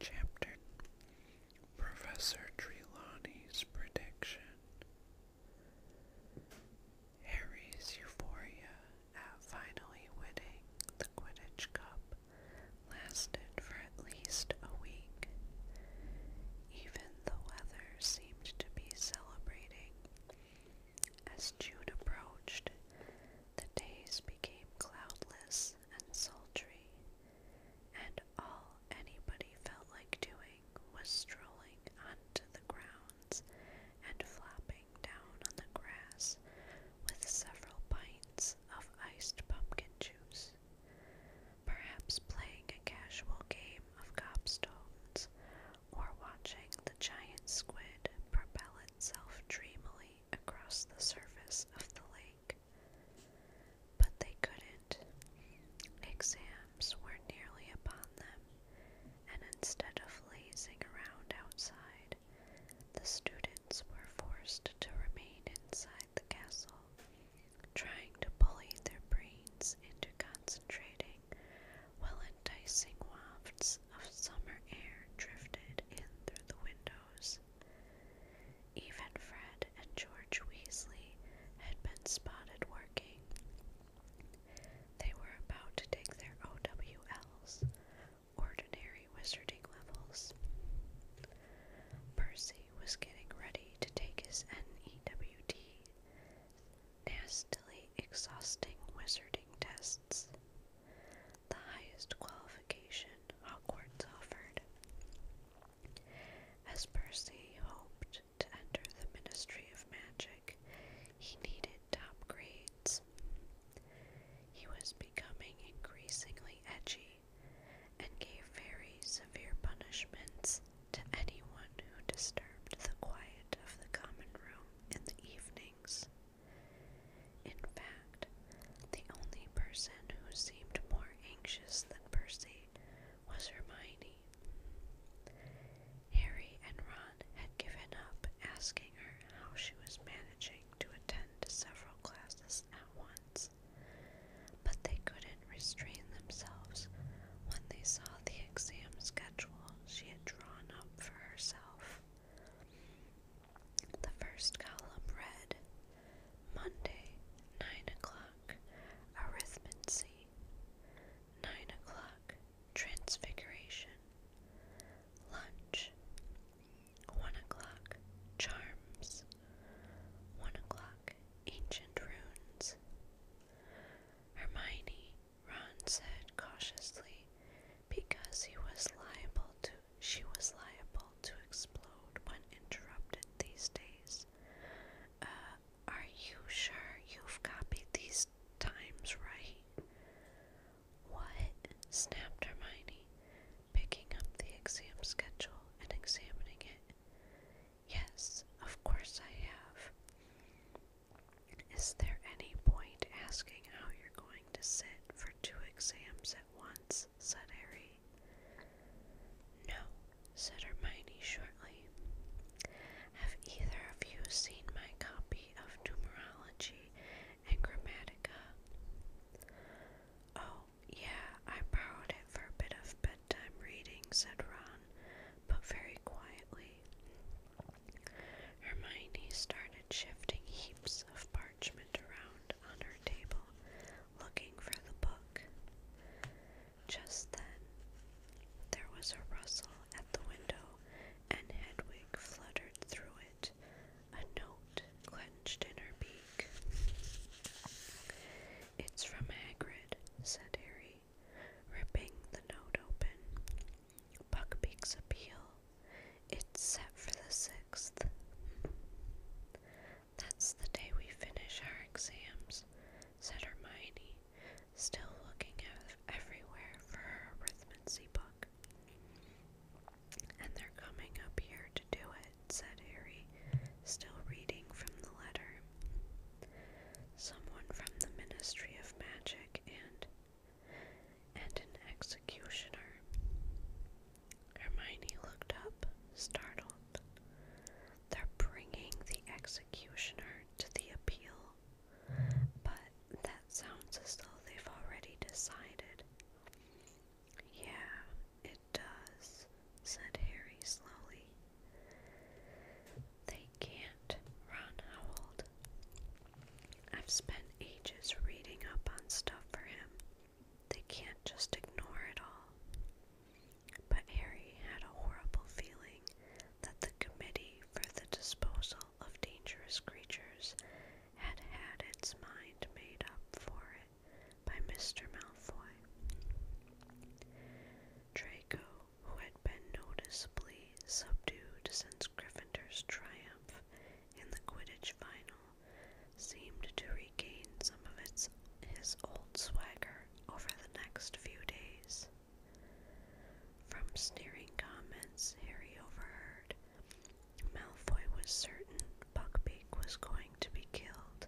Chapter Professor Trelawney's Prediction Harry's euphoria at finally winning the Quidditch Cup lasted for at least a week. Even the weather seemed to be celebrating. As June approached, the days became cloudless and sultry, and all anybody felt like doing was strolling onto the grounds and flopping down on the grass with several pints of iced pumpkin juice, perhaps playing a casual game of copstones or watching the giant squid propel itself dreamily across the surface of the lake. But they couldn't. Exams were nearly upon them, and instead of lazing around outside, the students were forced to remain inside the castle, trying to bully their brains into concentrating while enticing wafts of summer air drifted in through the windows. Even Fred and George Weasley had been spotted working. They were about to take their OWLs, ordinary wizarding levels. Percy was getting ready to take his NEWT, nastily exhausting wizarding tests the highest qualification Hogwarts offered. As Percy hoped to enter the Ministry of Magic, he needed top grades. He was becoming increasingly edgy and gave very severe punishments to anyone who disturbed the quiet of the common room in the evenings. In fact, the only person who seemed more anxious than Percy was Hermione. Harry and Ron had given up asking her how she was managing to attend several classes at once, but they couldn't restrain themselves when they saw the exam schedule she had drawn up for herself. The first column read Monday, 9 o'clock, Arithmancy, 9 o'clock, Transfiguration, Lunch, 1 o'clock, Charms, 1 o'clock, Ancient Runes. Hermione, Ron said cautiously, because he was liable to she was liable to explode when interrupted these days. Uh, are you sure you've copied these times right? What? snapped Hermione, picking up the exam schedule and examining it. Yes, of course I have. Is there any point asking how you're going to sit for two exams at once? said Harry. No, said Hermione shortly. Have either of you seen my copy of numerology and grammatica? Oh, yeah, I borrowed it for a bit of bedtime reading, said Ron, but very quietly. Hermione started shifting heaps of parchment around under. her table, looking for the book. Just then, there was a rustle at the window, and Hedwig fluttered through it, a note clenched in her beak. It's from Hagrid, said Harry, ripping the note open. Buckbeak's appeal. It's set for the 6th. That's the day we finish our exams, said Hermione, still looking everywhere for her arithmancy book. And they're coming up here to do it, said Harry, still reading from the letter. Someone from the Ministry of Magic and and an ex executioner. Hermione looked up, startled. They're bringing the executioner to the appeal, but that sounds as though they've already decided. Yeah, it does, said Harry slowly. They can't, Ron howled. I've spent ages reading up on stuff for him. They can't just ignore it all. But Harry had a horrible feeling that the Committee for the Disposal of Dangerous Creatures had had its mind made up for it by Mr. Malfoy. Draco, who had been noticeably subdued since Gryffindor's triumph in the Quidditch final, seemed to regain some of its his old swagger over the next few days. From sneering comments Harry overheard, Malfoy was certain Buckbeak was going to be killed,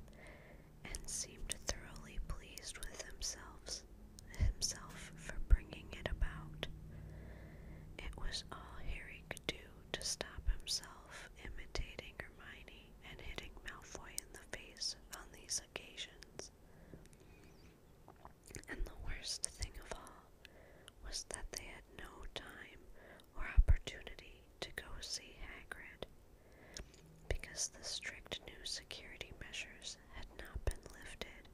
and seemed thoroughly pleased with himself, himself for bringing it about. It was all Harry could do to stop himself imitating Hermione and hitting Malfoy in the face on these occasions. And the worst thing of all was that they had no time or opportunity to go see Hagrid because the strict new security measures had not been lifted,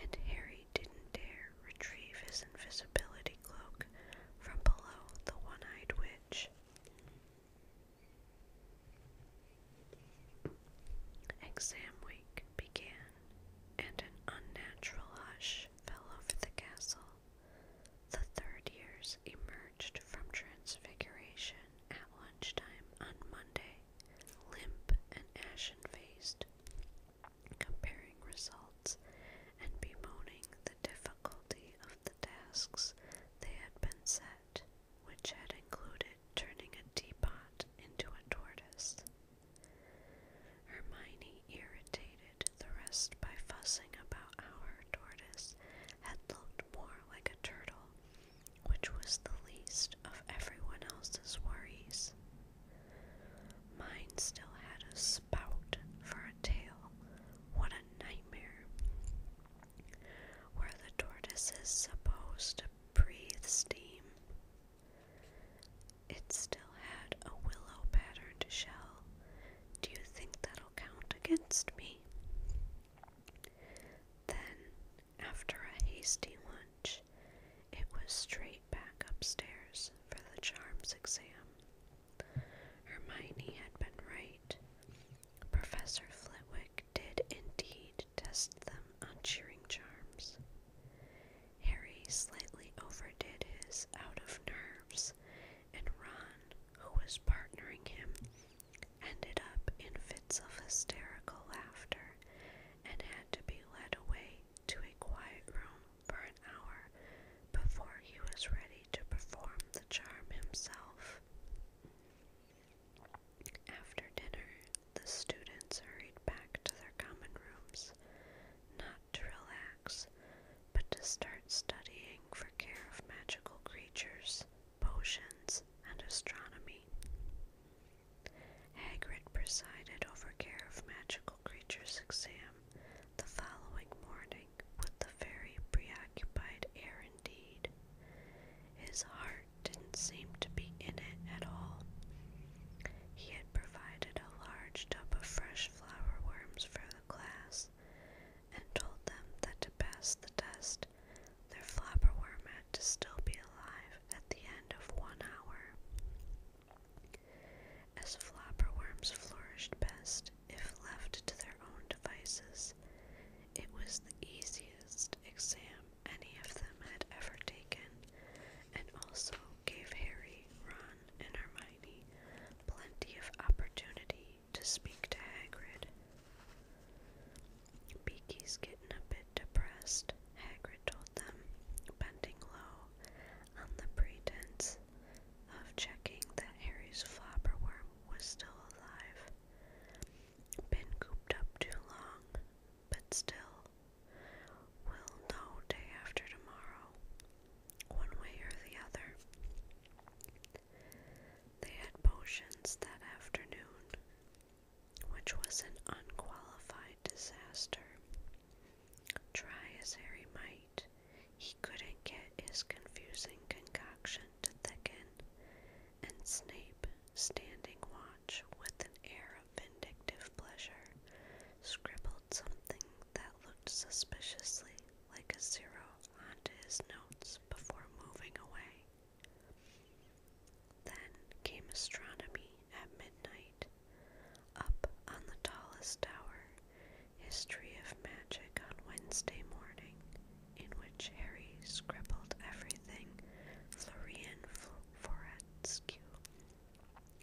and Harry didn't dare retrieve his invisibility cloak from below the one eyed witch. Exam week began, and an unnatural hush fell over the castle. The third years emerged from transfiguration at lunchtime on Monday, limp and ashen faced, comparing results and bemoaning the difficulty of the tasks they had been set, which had included turning a teapot into a tortoise. Hermione irritated the rest by fussing about how her tortoise had looked more like a turtle, which was the least of everyone else's worries. Mine still had a spout for a tail, what a nightmare. Where the tortoise is supposed to breathe steam? It still had a willow patterned shell. Do you think that'll count against me? Then, after a hasty lunch, it was straight back upstairs for the charms exam. Hermione had been right. Professor Flitwick did indeed test them on cheering charms. Harry slightly overdid his out of nerves, and Ron, who was partnering him, ended up in fits of hysterical laughter and had to be led away to a quiet room for an hour before he was ready to perform the charm himself. After dinner, the students hurried back to their common rooms, not to relax, but to start studying for care of magical creatures, potions, and astronomy. Hagrid presided over care of magical creatures exam the following morning wondering what very preoccupied air indeed. His heart didn't seem to be in it at all. He had provided a large tub of fresh flower worms for the class and told them that to pass the test, their flower worm had to still be alive at the end of one hour as flopper worms flourished best if left to their own devices. It was the easiest exam any of them had ever taken, and also gave Harry, Ron, and Hermione plenty of opportunity to speak to Hagrid. Beaky's getting a bit depressed, Hagrid told them, bending low on the pretense of checking that Harry's worm was still alive. Been cooped up too long, but still. will know day after tomorrow, one way or the other. They had potions that afternoon, which was an unqualified disaster. Try as Harry might, he couldn't get his confusing concoction to thicken, and Snape, standing watch with an air of vindictive pleasure, scribbled something that looked suspiciously like a zero onto his notes before moving away. Then came astronomy at midnight. Up on the tallest tower History of Magic on Wednesday morning, in which Harry scribbled everything Florian Forensky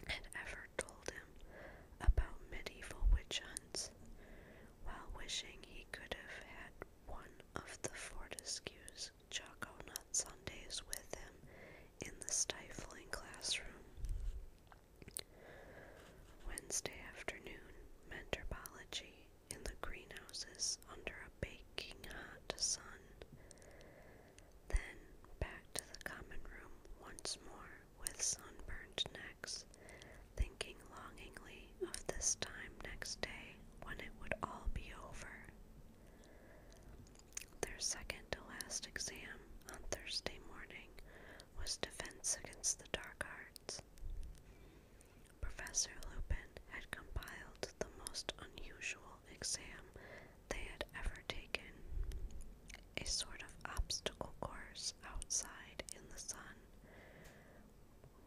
had ever told him about medieval witch hunts, while wishing he could have had one of the Fortescue's chocolate Sundays with him in the stifling classroom. Wednesday afternoon, Mentorpology in the greenhouses under a baking hot sun. Then back to the common room once more with sunburned necks, thinking longingly of this time next day when it would all be over. Their second to last exam on Thursday morning was Defense Against the Dark Arts. Professor Lupin had compiled the most unusual exam they had ever taken a sort of obstacle course outside in the sun,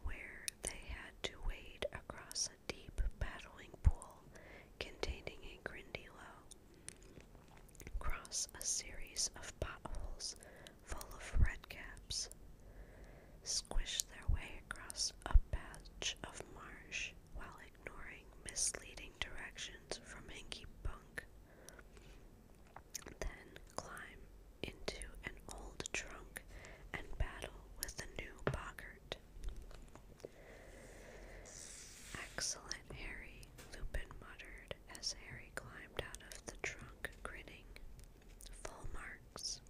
where they had to wade across a deep paddling pool containing a grindilo, cross a series of potholes full of redcaps, squished their way across a patch of marsh while ignoring misleading directions from Hinky Punk. Then climb into an old trunk and battle with the new boggart. Excellent, Harry, Lupin muttered as Harry climbed out of the trunk, grinning. Full marks.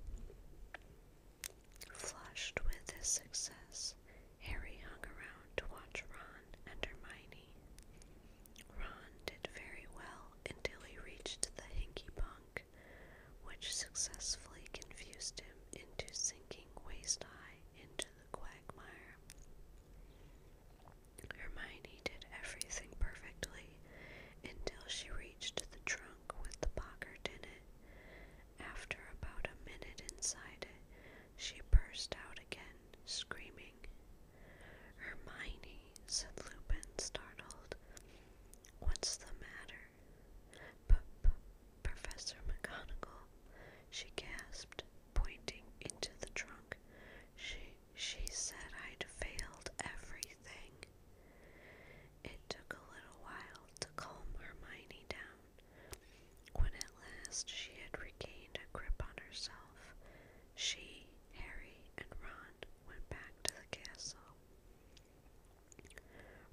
Flushed with his success, Harry hung around to watch Ron and Hermione. Ron did very well until he reached the Hinky Punk, which successfully confused him into sinking waist high into the quagmire. Hermione did everything perfectly until she reached the trunk with the pocket in it. After about a minute inside it, she burst out again, screaming. Hermione, said Lupin, startled. What's the matter? p professor McGonagall, she gasped, pointing into the trunk. She, she said I'd failed everything. It took a little while to calm Hermione down. When at last she had regained a grip on herself, she, Harry, and Ron went back to the castle.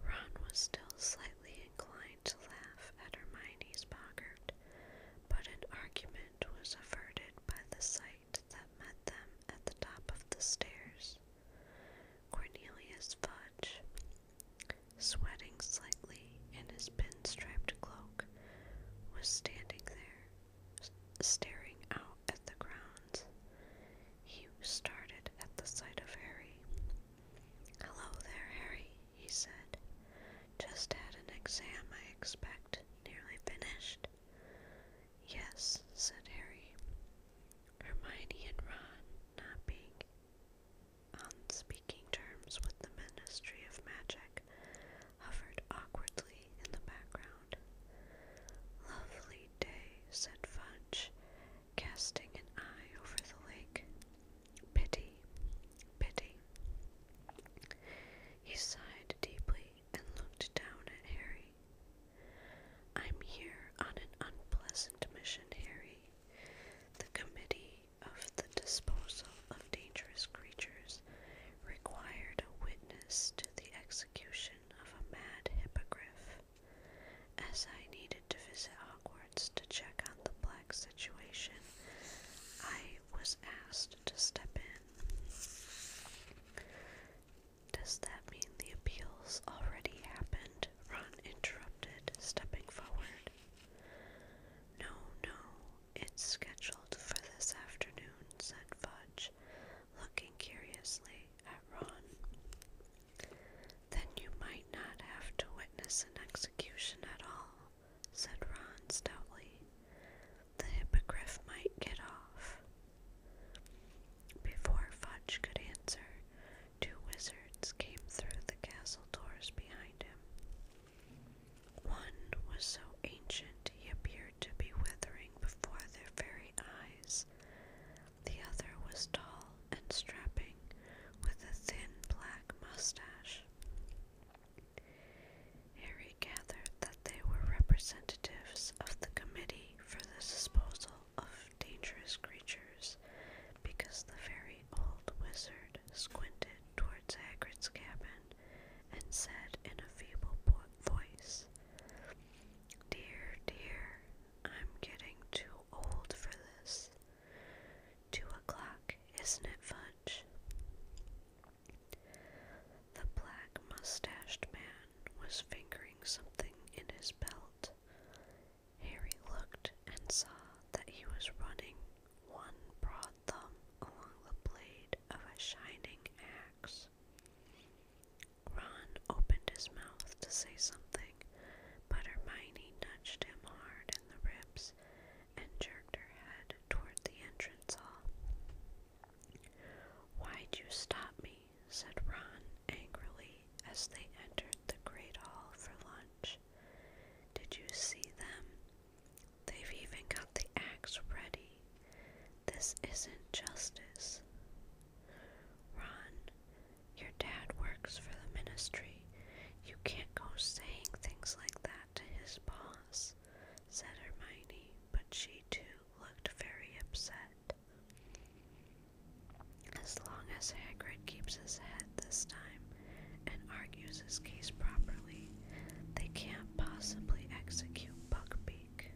Ron was still slightly inclined to laugh at Hermione's boggart, but an argument was averted by the sight that met them at the top of the stairs. Cornelius Fudge, sweating slightly in his pinstriped cloak, was standing there, staring out at the grounds. He started at the sight of Harry. Hello there, Harry, he said. Just had an exam, I expect. Nearly finished. Yes, said Harry. Hermione and Ron, not being on speaking terms with the Ministry of Magic, hovered awkwardly in the background. Lovely day, said Fudge, casting an eye over the lake. Pity, pity. He sighed deeply and looked down at Harry. I'm here on an unpleasant mission, Harry. The committee of the disposal of dangerous creatures required a witness to the execution of a mad hippogriff. As I needed to visit Hogwarts to check on the black situation, I was asked to step in. Does that mean the appeals already happened? Ron interrupted, stepping forward. No, no, it's scheduled for this afternoon, said Fudge, looking curiously at Ron. Then you might not have to witness an execution at all, said Ron stoutly the hippogriff might get off. Before Fudge could answer, two wizards came through the castle doors behind him. One was so ancient he appeared to be withering before their very eyes. The other was tall and strapping, with a thin black mustache. Harry gathered that they were representatives of the Committee for the Disposal of Dangerous Creatures because the very old wizard squinted towards Hagrid's cabin and said in a feeble voice, Dear, dear, I'm getting too old for this. Two o'clock, isn't it, Fudge? The black mustached man was fingering something in his belt. Harry looked and saw that he was running one broad thumb along the blade of a shining axe. Ron opened his mouth to say something, but Hermione nudged him hard in the ribs and jerked her head toward the entrance hall. Why'd you stop me? said Ron angrily as they entered the great hall for lunch. Did you see them? They've even got the axe ready. This isn't justice. Ron, your dad works for the ministry. You can't go saying things like that to his boss, said Hermione, but she too looked very upset. As long as Hagrid keeps his head this time and argues his case properly, they can't possibly execute Buckbeak.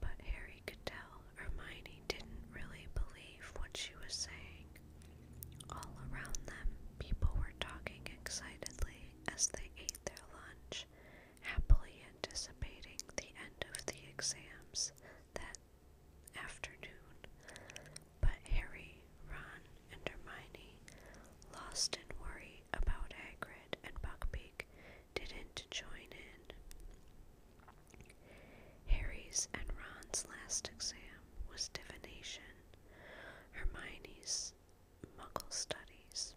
But Harry could tell Hermione didn't really believe what she was saying. All around them, people were talking excitedly as they ate their lunch happily anticipating the end of the exams that afternoon. But Harry, Ron, and Hermione, lost in worry about Hagrid and Buckbeak, didn't join in. Harry's and Ron's last exam was divination. Hermione's Muggle studies.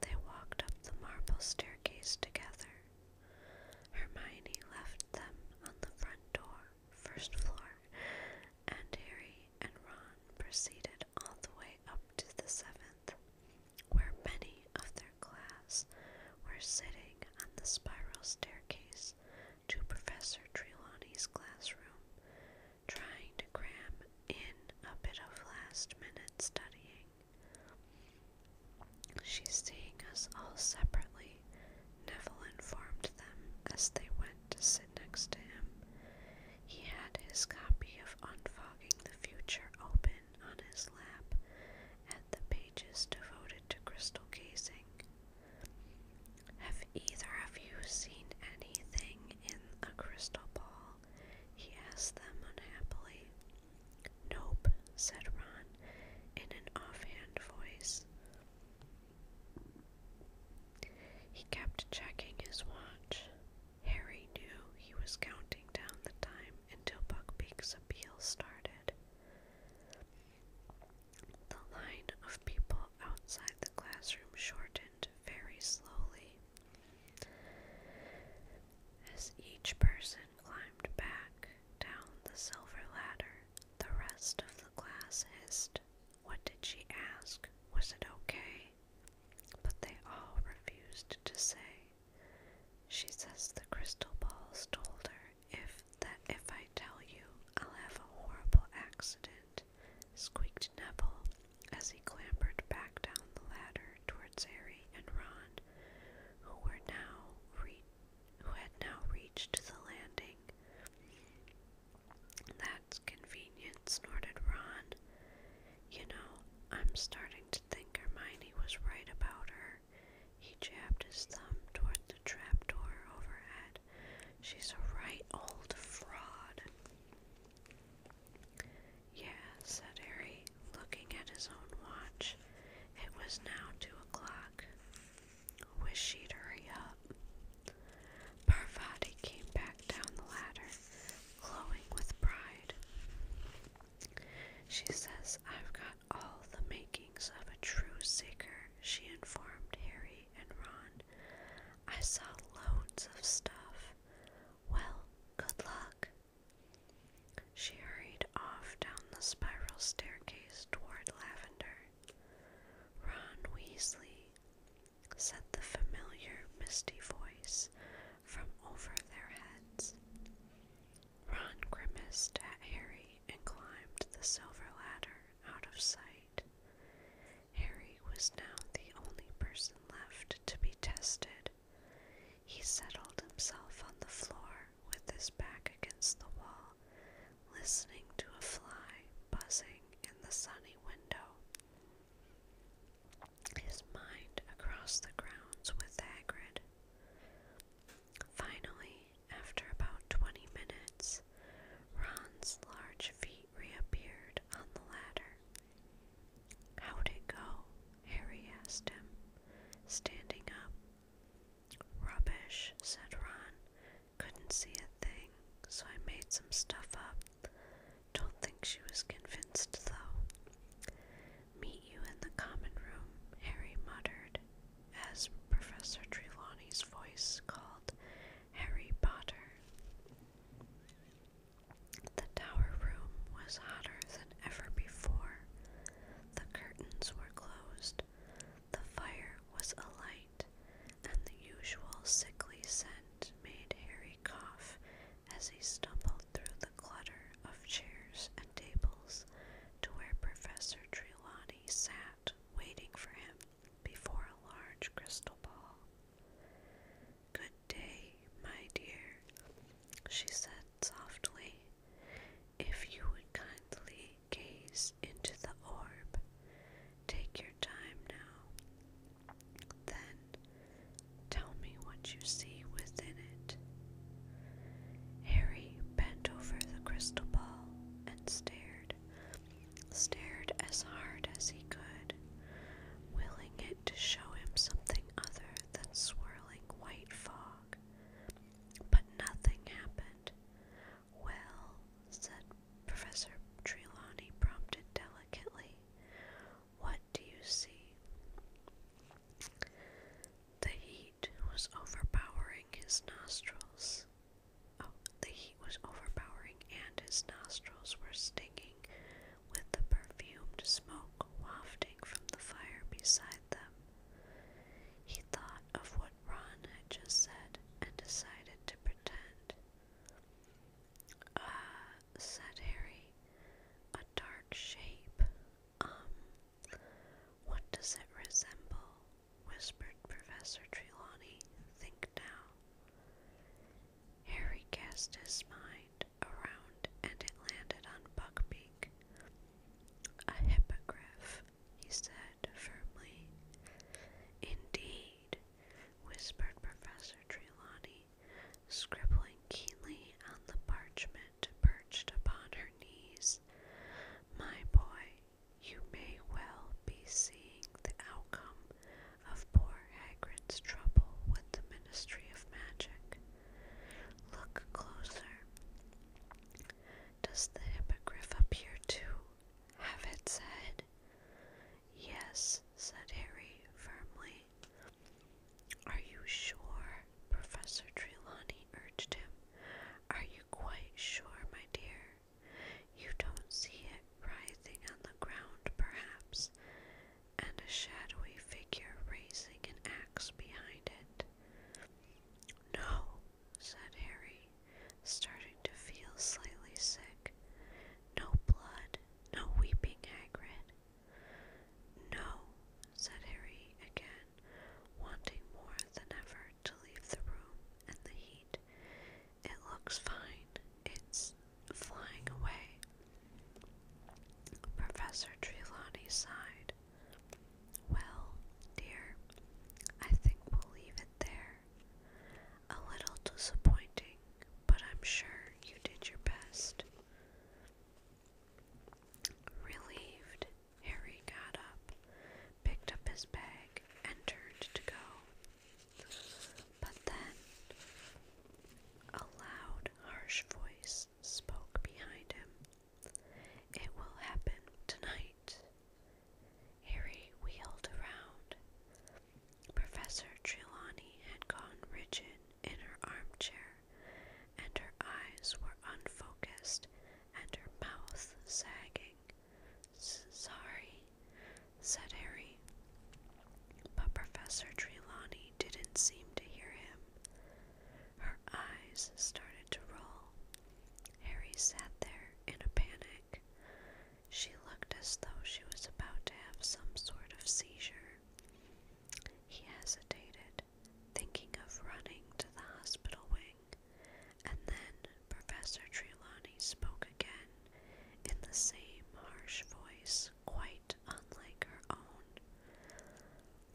They walked up the marble staircase together. Hermione left them on the front door, first floor, and Harry and Ron proceeded all the way up to the seventh, where many of their class were sitting on the spiral staircase to Professor Trelawney's classroom, trying to cram in a bit of last minute studying. She's seeing us all separately, Neville informed them as they went to sit next to him. He had his copy of Unfogging the Future open on his lap and the pages devoted to crystal gazing. Have either of you seen anything in a crystal ball? he asked them unhappily. Nope, said Ron in an offhand voice. He kept checking his watch. Harry knew he was counting down the time until Buckbeak's appeal started. The line of people outside the classroom shortened very slowly as each person climbed back down the silver ladder, the rest of the class hissed. What did she ask? Was it okay? But they all refused to say. She says the crystal balls told her if that if I tell you, I'll have a horrible accident. Squeaked Neville as he clambered back down the ladder towards Harry and Ron, who were now who had now reached the landing. That's convenient, snorted Ron. You know, I'm starting to think Hermione was right about her. He jabbed his thumb toward the trapdoor overhead. She's a right old fraud. Yeah, said Harry, looking at his own watch. It was now two o'clock. Wish she'd hurry up. Parvati came back down the ladder, glowing with pride. She says, I've got all the makings of a true seeker, she informed Harry and Ron. I saw loads of stuff. Well, good luck. She hurried off down the spiral staircase toward Lavender. Ron Weasley, said the familiar, misty voice from over their heads. Ron grimaced at Harry and climbed the silver ladder out of sight. Harry was now the only person left to be tested he settled himself on the floor with his back against the wall, listening to a fly buzzing in the sunny window. His mind across the grounds with Hagrid. Finally, after about twenty minutes, Ron's large feet reappeared on the ladder. How'd it go? Harry asked him, standing up. Rubbish, said Ron. Couldn't see a thing, so I made some stuff up. Don't think she was convinced, though. Meet you in the common room, Harry muttered, as Professor Trelawney's voice called Harry Potter. The tower room was hotter than ever before. The curtains were closed, the fire was alight, and the usual sickly scent made Harry cough as he stumbled through the clutter of chairs and tables to where Professor Trelawney sat waiting for him before a large crystal ball. Good day, my dear, she said softly. If you would kindly gaze into the orb, take your time now. Then tell me what you see within it. Harry bent over the crystal ball and stared, stared as hard as he could, willing it to show him something other than swirling white fog. But nothing happened. Well, said Professor Trelawney, prompted delicately, what do you see? The heat was overpowering his nostrils. Oh, the heat was overpowering, and his nostrils were stinging with the perfumed smoke wafting from the fire beside them. He thought of what Ron had just said and decided to pretend. Ah, uh, said Harry, a dark shape. Um, what does it resemble? whispered Professor Trelawney. Think now. Harry cast his mind around and it landed on Buckbeak. A hippogriff, he said firmly. Indeed, whispered Professor Trelawney, scribbling keenly on the parchment perched upon her knees. My boy, you may well be seeing the outcome of poor Hagrid's trouble with the Ministry of Magic. Look closer. Does the hippogriff appear to have its head? Yes, said Harry firmly. Are you sure? Professor Trelawney urged him. Are you quite sure, my dear? You don't see it writhing on the ground, perhaps and a shadowy figure raising an axe behind it. No, said Harry, starting to feel slightly sick. No blood, no weeping, Hagrid. No, said Harry again, wanting more than ever to leave the room and the heat. It looks fine. It's flying away. Professor Trelawney sighed. Well, dear, I think we'll leave it there. A little disappointing, but I'm sure you did your best. Relieved, Harry got up, picked up his bag, and to go. But then, a loud, harsh voice spoke behind him. It will happen tonight. Harry wheeled around. Professor Trelawney had gone rigid in her armchair, and her eyes were unfocused and her mouth sagging. Sorry, said Harry. But Professor Trelawney didn't seem to hear him. Her eyes started to roll. Harry sat there in a panic. She looked as though she was about to have some sort of seizure. He hesitated, thinking of running to the hospital wing, and then Professor Trelawney spoke again in the same harsh voice, quite unlike her own.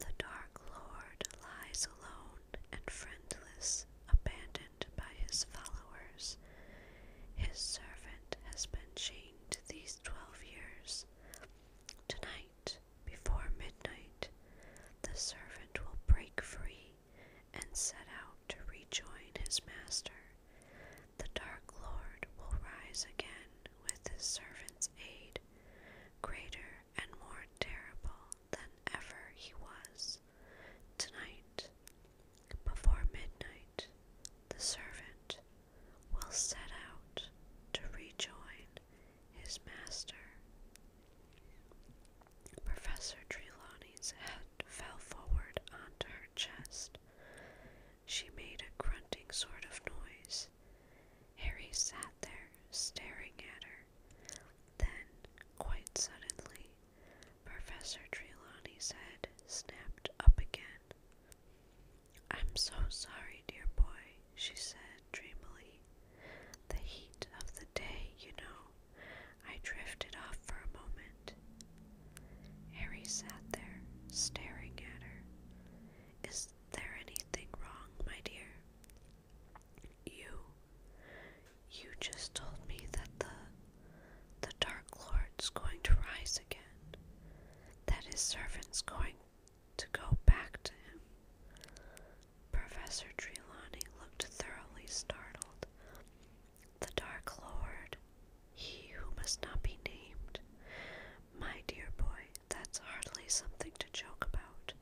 The Dark Lord lies alone and friendless, abandoned by his followers. His servant has been chained these twelve years. Tonight, before midnight, the servant will break free and set out to rejoin his master. The Dark Lord will rise again with his servant's aid greater and more terrible than ever he was. Tonight, before midnight, the servant will set out to rejoin his master. Professor Trelawney's head fell forward onto her chest. She made a grunting sort of noise Harry sat there, staring at her. Then, quite suddenly, Professor Trelawney's head snapped up again. I'm so sorry, dear boy, she said dreamily. The heat of the day, you know. I drifted off for a moment. Harry sat there, staring at her. Is is there anything wrong, my dear? You. You just told me that the the Dark Lord's going to rise again. That his servant's going to go back to him. Professor Trelawney looked thoroughly startled. The Dark Lord, he who must not be named. My dear boy, that's hardly something to joke about.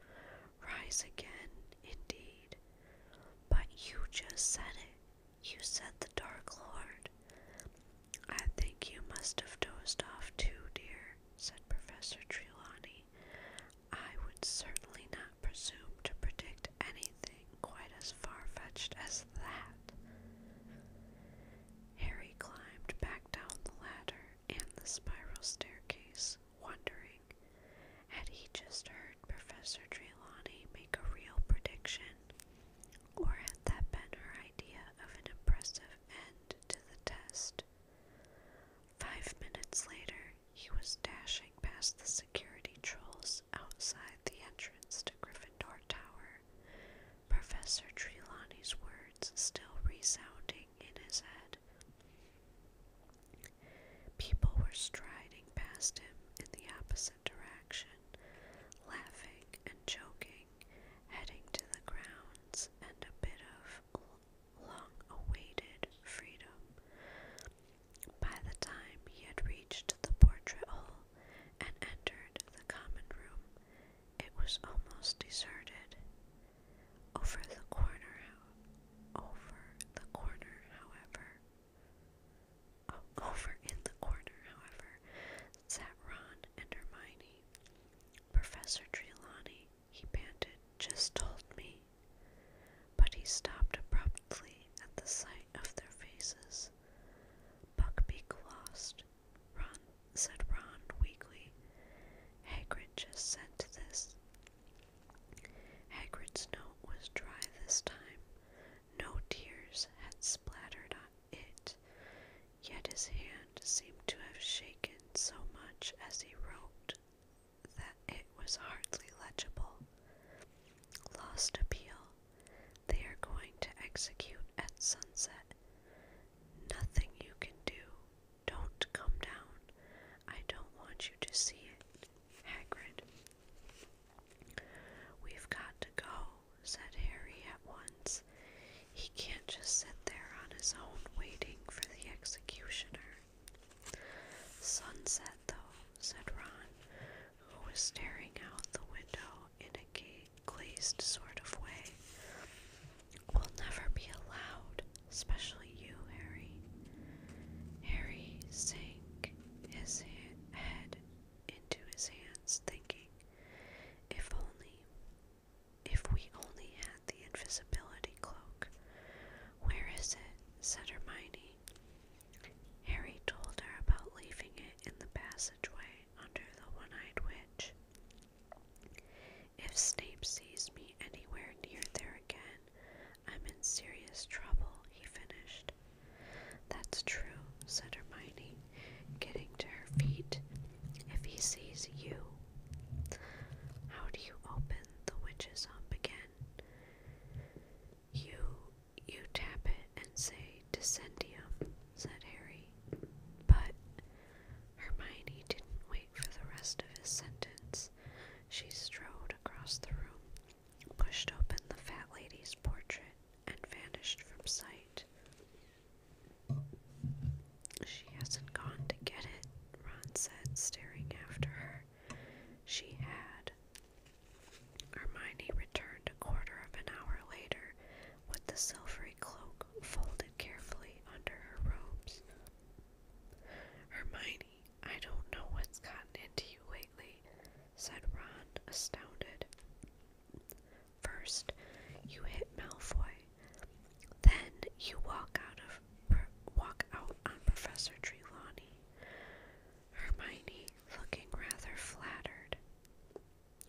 Rise again, indeed. But you just said it. You said the Dark Lord. I think you must have dozed off too, dear, said Professor Trelawney. I would certainly not presume to predict anything quite as far fetched as that. Harry climbed back down the ladder and the spiral staircase, wondering had he just heard Professor Trelawney make a real prediction, or had that been her idea of an impressive end to the test? Five minutes later, he was dashing past the security trolls outside the entrance to Gryffindor Tower. Professor Trelawney's words still resounding in his head. People were striding past him in the opposite direction, laughing and joking, heading to the grounds and a bit of long awaited freedom. By the time he had reached the portrait hall and entered the common room, it was almost deserted. Over the corner, over the corner, however, over in the corner, however, sat Ron and Hermione. Professor Trelawney, he panted, just told me. But he stopped abruptly at the sight of their faces. Buckbeak lost Ron said Ron weakly. Hagrid just sent this. Hagrid's note was dry this time. No tears had splattered on it, yet his hand seemed to have shaken so much as he wrote that it was hardly legible. Lost appeal. They are going to execute at sunset. Nothing you can do don't come down. I don't want you to see it. Hagrid. We've got to go, said Harry at once. He can't just sit there on his own waiting for the executioner. Sunset, though, said Ron, who was staring out the window in a glazed sort of way will never be allowed, especially you, Harry. Harry sank his head into his hands, thinking, if only, if we only had the invisibility cloak. Where is it? said Hermione. Harry told her about leaving it in the passageway under the one eyed witch. If Snape sees me anywhere near there again, I'm in serious trouble, he finished. That's true, said Hermione, getting to her feet. If he sees you. How do you open the witches up again? You you tap it and say said Harry. But Hermione didn't wait for the rest of his sentence. She strode across the room, pushed open the fat lady's portrait, and vanished from sight. She hasn't gone to get it, Ron said, staring after her. She had. Hermione returned a quarter of an hour later with the silvery cloak folded carefully under her robes. Hermione, I don't know what's gotten into you lately, said Ron, astounded. First, you hit Malfoy. Then you walk out of walk out on Professor Trelawney. Hermione, looking rather flattered.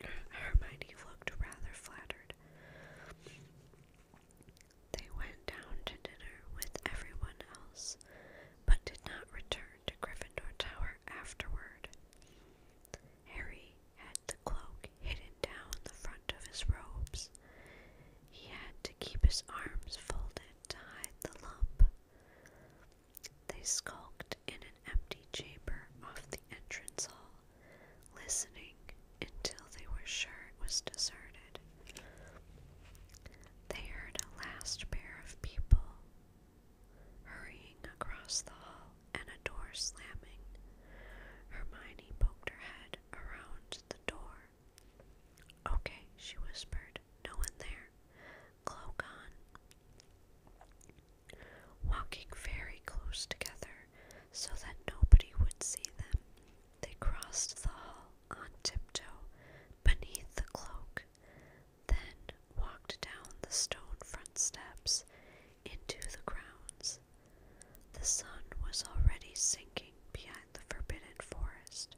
Hermione looked rather flattered. They went down to dinner with everyone else, but did not return to Gryffindor Tower afterward. Harry had the cloak hidden down the front of his robes. He had to keep his arms folded to hide the lump. They skulked in an empty chamber off the entrance hall listening until they were sure it was deserted. They heard a last pair of people hurrying across the hall and a door slamming. Hermione poked her head around the door. Okay, she whispered. No one there. Cloak Walking very close together, so that nobody would see them. They crossed the hall on tiptoe beneath the cloak, then walked down the stone front steps into the grounds. The sun was already sinking behind the forbidden forest,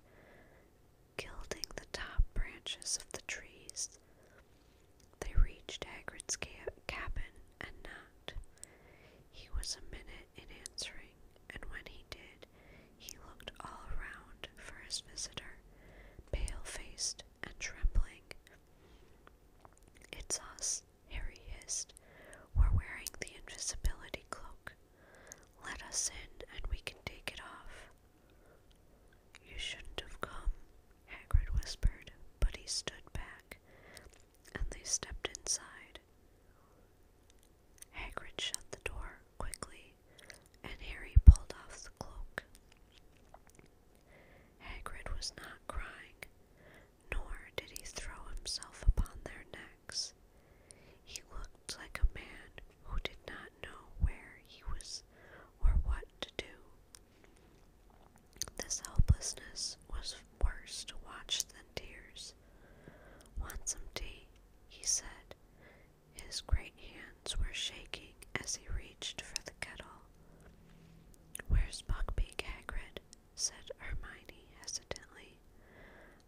gilding the top branches of the trees. They reached Hagrid's cabin and knocked. He was a minute in answering, and when he did, he looked all around for his visitor, pale faced and trembling. It's us, Harry hissed. We're wearing the invisibility cloak. Let us in and we can take it off. You shouldn't have come, Hagrid whispered, but he stood back and they stepped inside. Hagrid shut the door quickly, and Harry pulled off the cloak. Hagrid was not crying, nor did he throw himself upon their necks. He looked like a man who did not know where he was or what to do. This helplessness was worse to watch than tears. Want some tea? he said. His great hands were shaking as he reached for the kettle. Where's Buckbeak Hagrid? said Hermione hesitantly.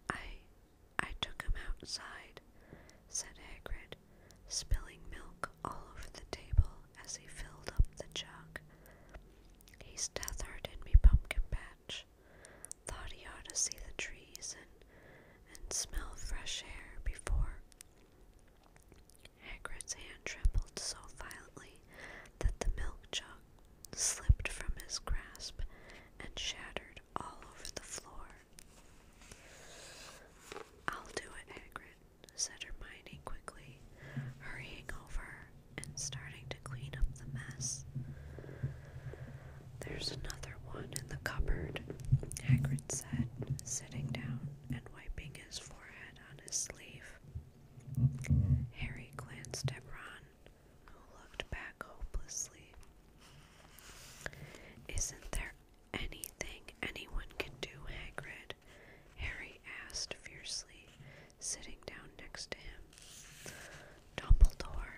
I I took him outside, said Hagrid, spilling milk all over the table as he filled up the jug. He's tethered in the Pumpkin Patch. Thought he ought to see the trees and, and smell fresh air before. Hagrid's hand trembled so violently that the milk jug slipped from his grasp and shattered all over the floor. I'll do it, Hagrid, said Hermione quickly, hurrying over and starting to clean up the mess. There's another one in the cupboard, Hagrid said, sitting down and wiping his forehead on his sleeve. Harry glanced at Ron, who looked back hopelessly. Isn't there anything anyone can do, Hagrid? Harry asked fiercely, sitting down next to him. Dumbledore,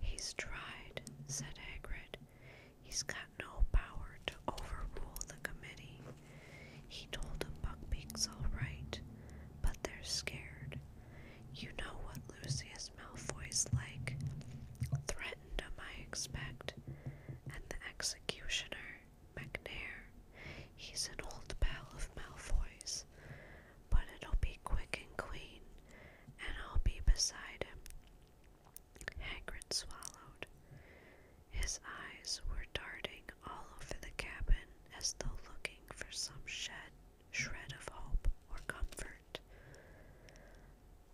he's tried, said Hagrid. He's got no power to overrule the committee. He told him Buckbeak's all right, but they're scared. You know what Lucius Malfoy's like. Threatened him, I expect. And the executioner, McNair, he's an old pal of Malfoy's but it'll be quick and clean, and I'll be beside him. Hagrid swallowed. His eyes were darting all over the cabin as though looking for some shed, shred of hope or comfort.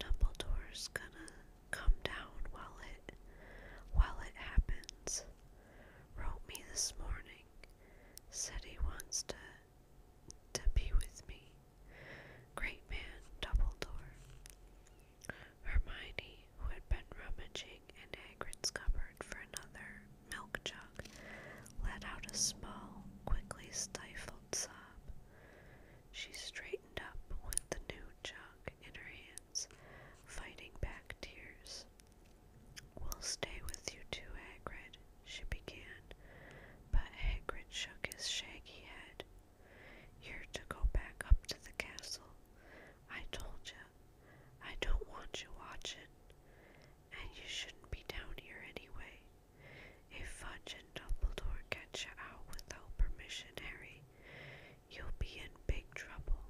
Dumbledore's gonna come down while it while it happens. Wrote me this morning Said he wants to to be with me. Great man, Dumbledore. Hermione, who had been rummaging in Hagrid's cupboard for another milk jug, let out a small, quickly stifled sob. She straightened up with the new jug in her hands, fighting back tears. We'll stay with you too, Hagrid, she began, but Hagrid shook his shaggy head. You're to go back up to the castle. I told you. I don't want you watching. And you shouldn't be down here anyway. If Fudge and Dumbledore catch you out without permission, Harry, you'll be in big trouble.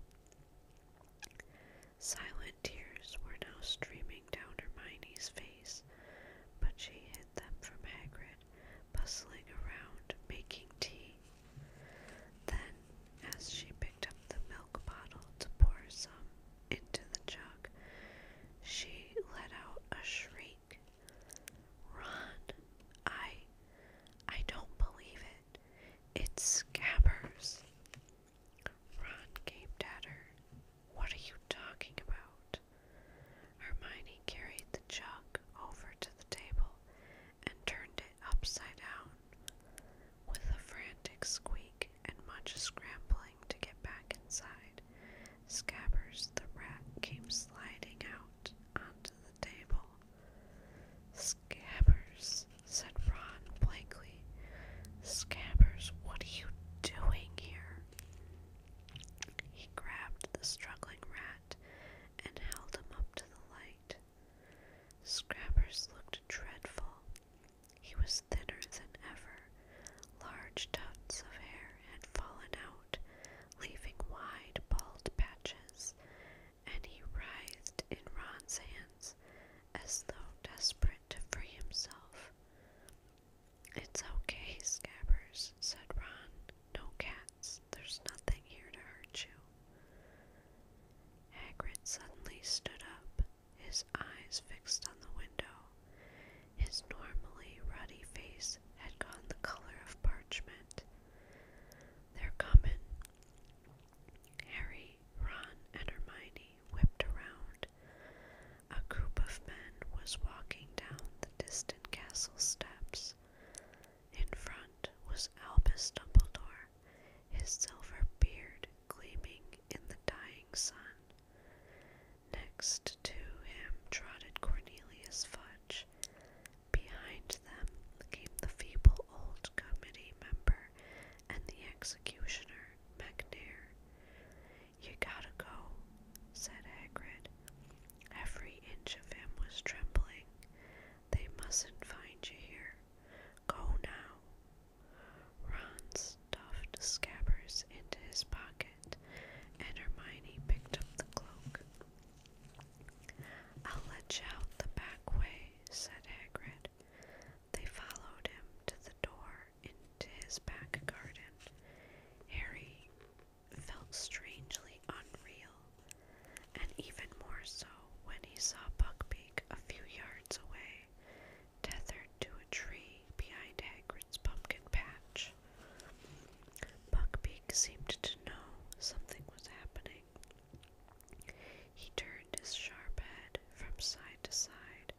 Silent tears were now streaming down Hermione's face, but she hid them from Hagrid, bustling around, making tea. Then, as she picked up the milk bottle to pour some into the jug, she let out a shriek. Ron, I I don't believe it. It's Scabbers. Ron gaped at her. What are you talking about? Hermione carried the jug over to the table and turned it upside down. With a frantic squeak and much scrambling to get back inside, Scabbers the rat came sliding out onto the table. Scabbers, said Ron blankly. Scabbers, what are you doing here? He grabbed the struggling rat and held him up to the light. Scrabbers looked dreadful. He was thinner than ever. Large tufts of hair had fallen out, leaving wide, bald patches, and he writhed in Ron's hands as though desperate to free himself. It's okay, Scabbers, said Ron. No cats. There's nothing here to hurt you. Hagrid suddenly stood up, his eyes fixed on the window. His normally ruddy face had gone the color of parchment. They're coming. Harry Harry, Ron, and Hermione whipped around. A group of men was walking down the distant castle steps. In front was Albus Dumbledore, his silver beard gleaming in the dying sun. Next to him trotted Cornelius Fudge. Behind them came the feeble old committee member and the executioner, MacNair. You gotta go, said Hagrid. Every inch of him was trembling. They mustn't find you here. Go now. Ron stuffed Scabbers into his pocket, and Hermione picked up the cloak. I'll let you out the back way, said Hagrid. They followed him to the door into his back garden. Harry felt strangely unreal, and even more so when he saw Buckbeak a few yards away, tethered to a tree behind Hagrid's pumpkin patch. Buckbeak seemed to know something was happening. He turned his sharp head from side to side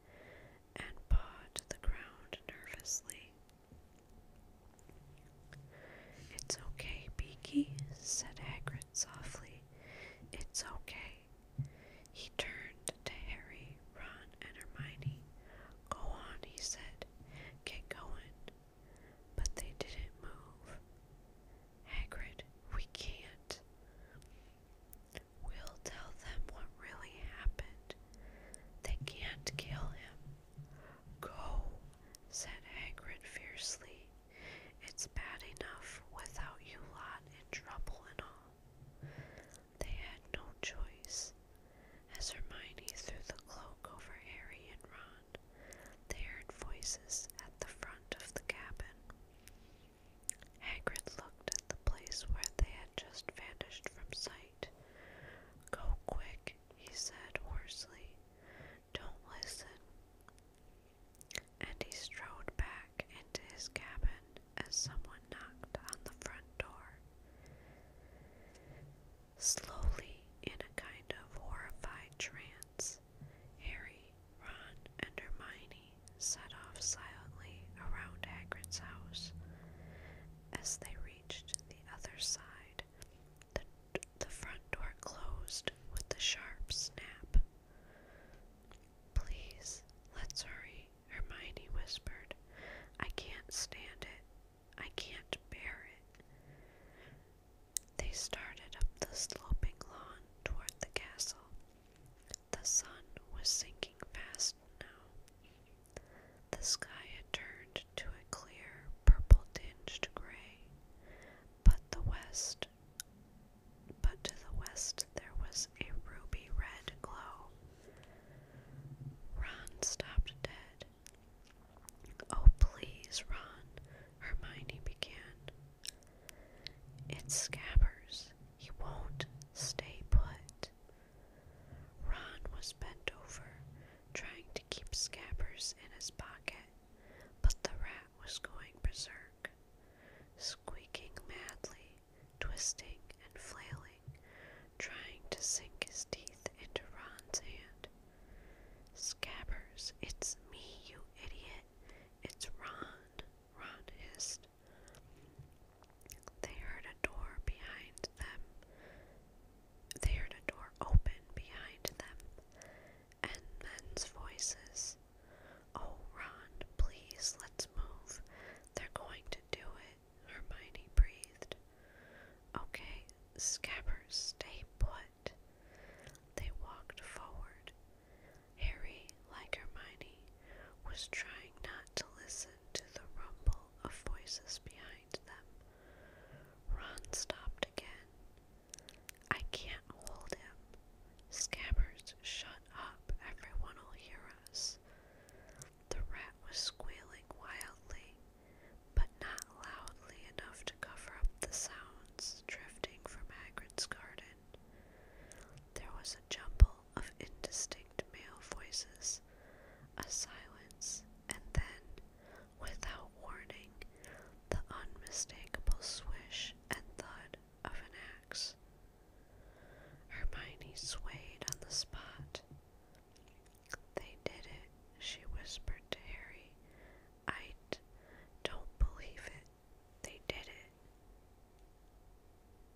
and pawed the ground nervously. It's okay, Beaky, said Hagrid softly. It's okay. He turned to Harry, Ron, and Hermione. Go on, he said. Get going. But they didn't move. Hagrid, we can't. We'll tell them what really happened. They can't kill him. Go, said Hagrid fiercely. It's bad enough without you lot in trouble and all. They had no choice. As Hermione threw the cloak over Harry and Ron, they heard voices at the front of the cabin. Hagrid looked at the place where they had just vanished from sight. Go quick, he said hoarsely. Don't listen. And he strode back into his cabin as someone knocked on the front door. Slowly, in a kind of horrified trance, Harry, Ron, and Hermione set off silently around Hagrid's house. As they reached the other side, the, the front door closed with a sharp snap. Please, let's hurry, Hermione whispered. I can't stand it. I can't bear it. They started up the sloping lawn toward the castle. The sun was sinking fast now. The sky had turned to a clear, purple tinged gray, but the west but to the west there was a ruby red glow. Ron stopped dead. Oh, please, Ron, Hermione began. It's scabbers. He won't stay put. Ron was bent over, trying to keep Scabbers in his pocket, but the rat was going berserk. Squeaking madly, twisting and flailing, trying to sink his teeth into Ron's hand. Scabbers, it's me, you idiot. It's Ron, Ron hissed. They heard a door behind them. They heard a door open behind them, and men's voices. Oh, Ron, please, let's move. They're going to do it, Hermione breathed. Okay, Scabbers, stay put. They walked forward. Harry, like Hermione, was trying not to listen to the rumble of voices behind them. Ron stopped again. I can't hold him. Scammers, shut up. Everyone will hear us. The rat was squealing wildly, but not loudly enough to cover up the sounds drifting from Hagrid's garden. There was a jumble of indistinct male voices, a silence, and then, without warning, the unmistakable swish and thud of an axe. Hermione swayed on the spot. They did it, she whispered to Harry. I don't believe it. They did it.